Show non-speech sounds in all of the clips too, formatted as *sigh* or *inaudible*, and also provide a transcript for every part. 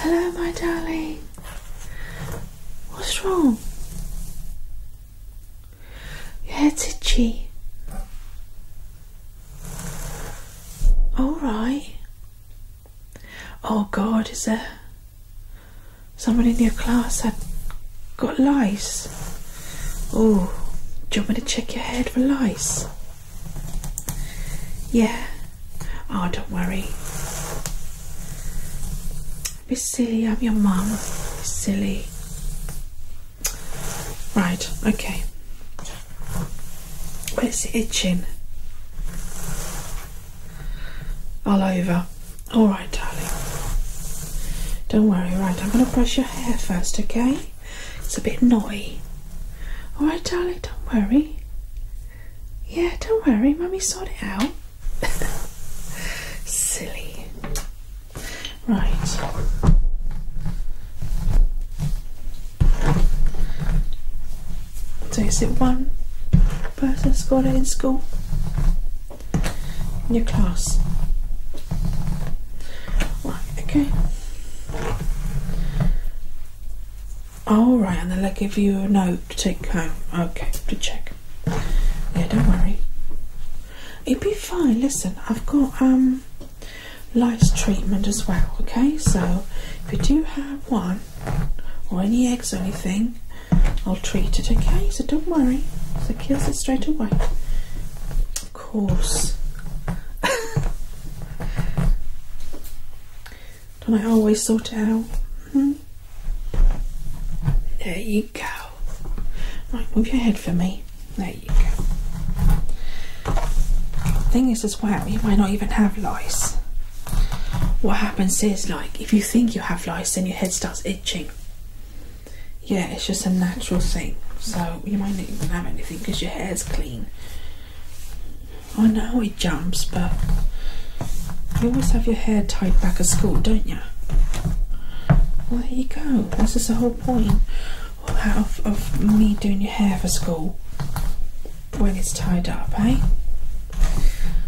Hello, my darling. What's wrong? Your head's itchy. All right. Oh God, is there someone in your class that got lice? Oh, do you want me to check your head for lice? Yeah. Oh, don't worry. Be silly, I'm your mum. Be silly. Right, okay. Where's the itching? All over. Alright, darling. Don't worry, right, I'm gonna brush your hair first, okay? It's a bit knotty. Alright, darling, don't worry. Yeah, don't worry, mummy sorted out. *laughs* Silly. Right. So is it one person's got it in school? In your class? Right, okay. All right, and then I will give you a note to take home. Okay, to check. Yeah, don't worry. It'll be fine. Listen, I've got um lice treatment as well. Okay, so if you do have one or any eggs or anything, I'll treat it. Okay, so don't worry. So kills it straight away of course. Don't I always sort it out? Hmm? There you go. Right, move your head for me. There you go. Thing is, as well, you might not even have lice. What happens is, like, if you think you have lice, then your head starts itching yeah, it's just a natural thing. So you might not even have anything because your hair's clean. I know it jumps, but you always have your hair tied back at school, don't you? Well, there you go. That's just the whole point of, me doing your hair for school when it's tied up, eh?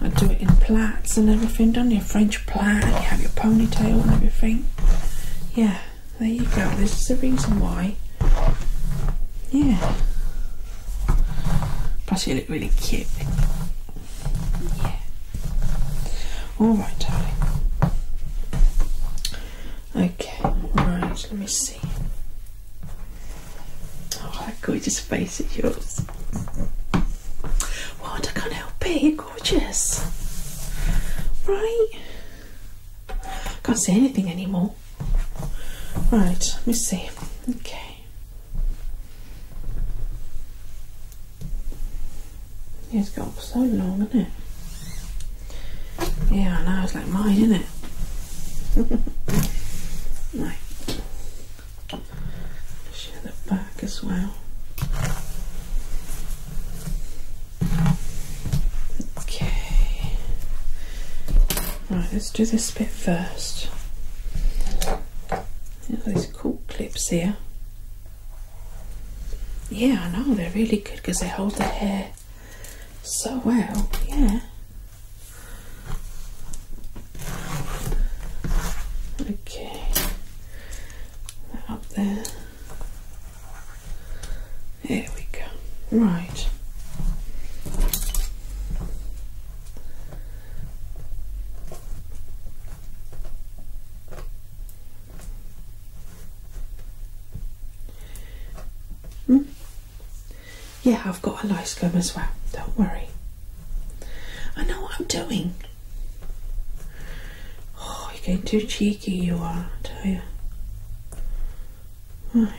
I do it in plaits and everything, don't French plait, you have your ponytail and everything. Yeah there you go. This is the reason why. Yeah. Plus, you look really cute. Yeah. All right, darling. Okay. Right. Let me see. Oh, that gorgeous face is yours. What? I can't help it gorgeous. Right. Can't see anything anymore. Right, let me see. Okay. It's gone so long, isn't it? Yeah, I know, it's like mine, isn't it? *laughs* right. Show the back as well. Okay. Right, let's do this bit first. these cool clips here. Yeah, I know, they're really good because they hold the hair so well. Yeah. Okay. up there. There we go. Right. Hmm? Yeah, I've got a lice gum as well, don't worry. I know what I'm doing. Oh, you're getting too cheeky, you are, I tell you. Right.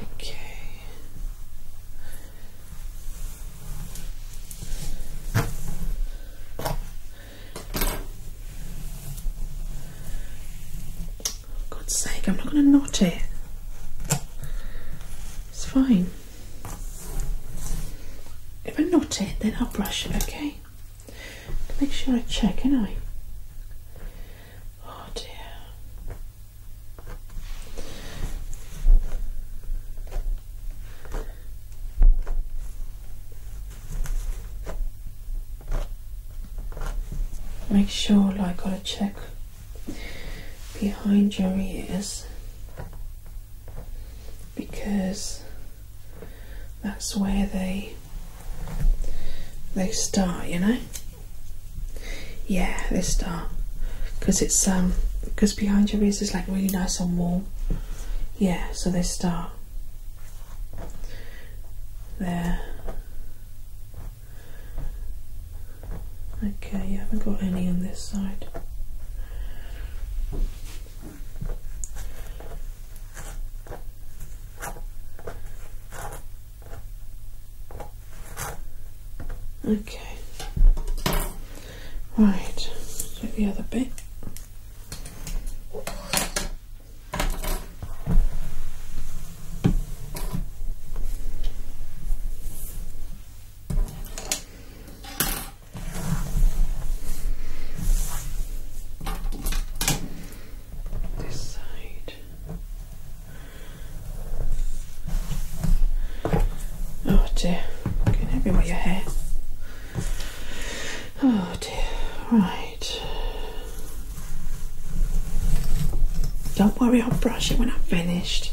Okay. God's sake, I'm not going to not it. It's fine. If I'm not it, then I'll brush it, okay? Make sure I check, can I? Oh dear. Make sure I gotta check behind your ears because that's where they they start you know yeah they start because it's um because behind your ears is like really nice and warm yeah so they start there Okay, you haven't got any on this side. Okay. Right, do the other bit. This side. Oh dear, can getting everywhere your hair. Oh dear, right. Don't worry, I'll brush it when I'm finished.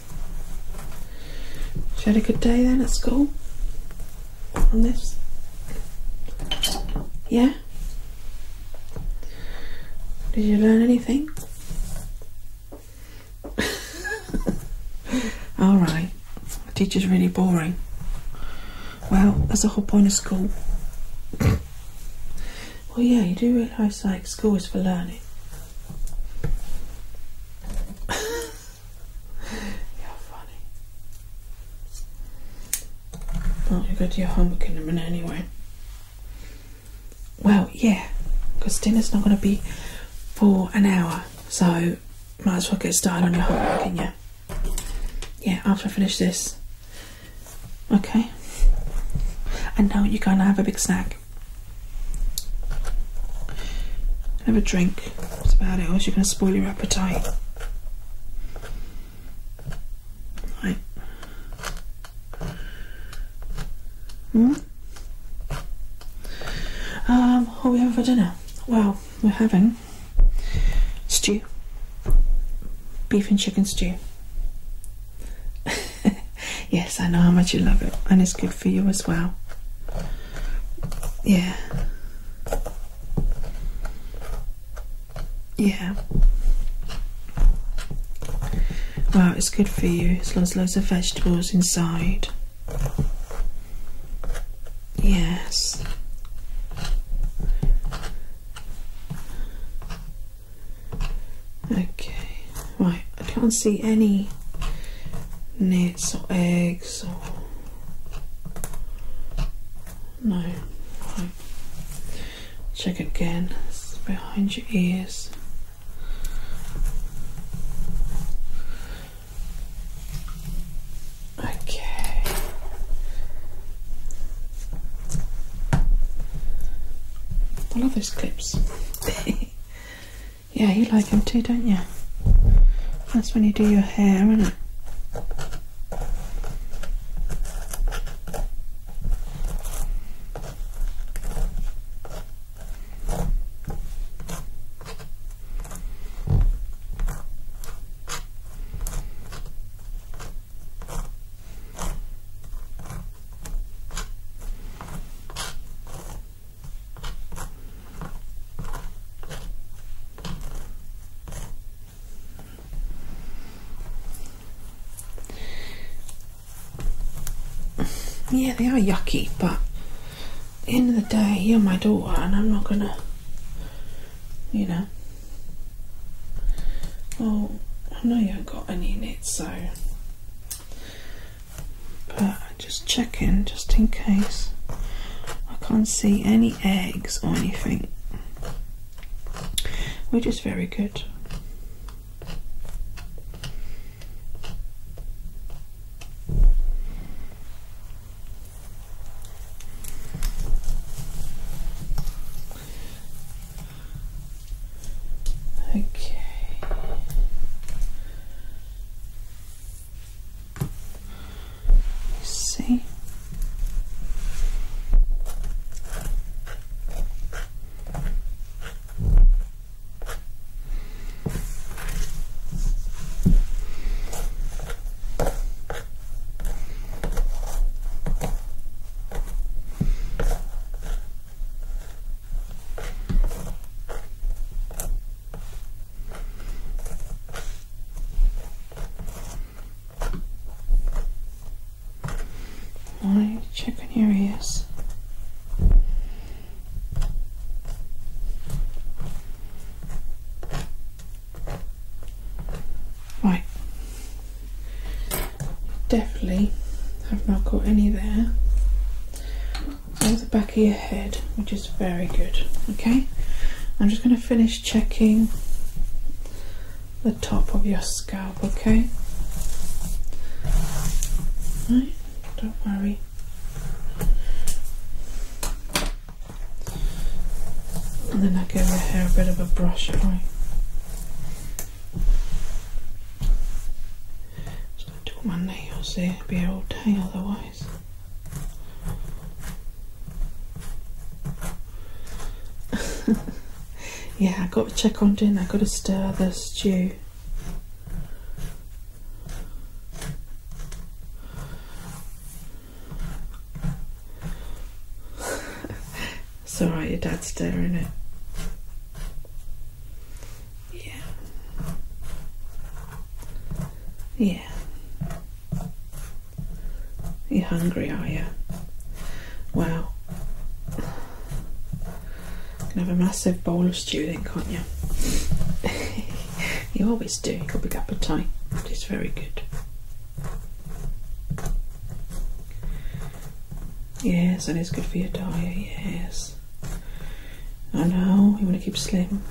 She had a good day then at school? On this? Yeah? Did you learn anything? *laughs* Alright. The Teacher's really boring. Well, that's the whole point of school. *coughs* well, yeah, you do realise like school is for learning. *laughs* funny. Well, you go do your homework in a minute anyway. Well, yeah, because dinner's not going to be for an hour, so might as well get started on your homework, can you? Yeah, after I finish this. Okay. And now you're going to have a big snack. Have a drink. That's about it. Or else you're going to spoil your appetite. Right. Hmm? Um, what are we having for dinner? Well, we're having stew. Beef and chicken stew. *laughs* yes, I know how much you love it. And it's good for you as well. Yeah. Yeah. Wow, it's good for you. It's lots, loads of vegetables inside. Yes. Okay. Right, I can't see any. No meat, some eggs, some... No. Check again. behind your ears. Okay. I love those clips. *laughs* Yeah, you like them too, don't you? That's when you do your hair, isn't it? Yeah, they are yucky, but at the end of the day, you're my daughter, and I'm not gonna, you know. Well, I know you haven't got any in it, so but I'm just checking just in case I can't see any eggs or anything which is very good Okay. You see? i check on your ears. Right. Definitely have not got any there. Over the back of your head, which is very good. Okay, I'm just going to finish checking the top of your scalp. Okay, right, don't worry. And then I give the hair a bit of a brush by just going to do my nails here, it'll be all day otherwise. *laughs* yeah, I got to check on dinner. I got to stir the stew. Sorry, *laughs* your dad's stirring it. Yeah. Yeah. You're hungry, are you? Wow. You can have a massive bowl of stew then, can't you? *laughs* you always do. You've got a big appetite. It's very good. Yes, and it's good for your diet, yes. I know, you want to keep sleeping.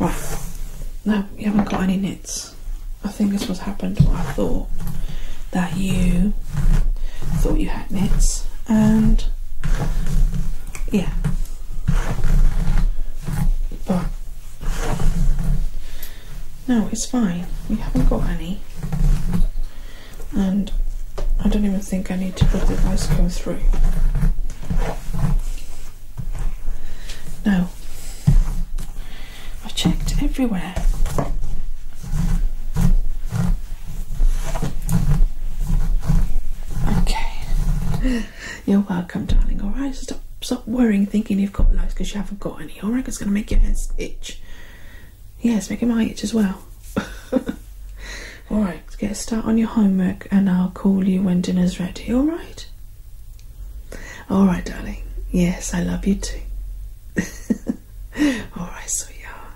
Right, no, you haven't got any knits. I think this was happened, what I thought, that you thought you had knits and yeah. But no, it's fine. We haven't got any. And I don't even think I need to put the ice go through. No. I've checked everywhere. Okay. You're welcome, darling. All right, stop, stop worrying, thinking you've got loads because you haven't got any. All right, it's going to make your head itch. Yes, make making my itch as well. *laughs* all right, let's get a start on your homework, and I'll call you when dinner's ready. All right. All right, darling. Yes, I love you too. *laughs* all right, so sweetheart.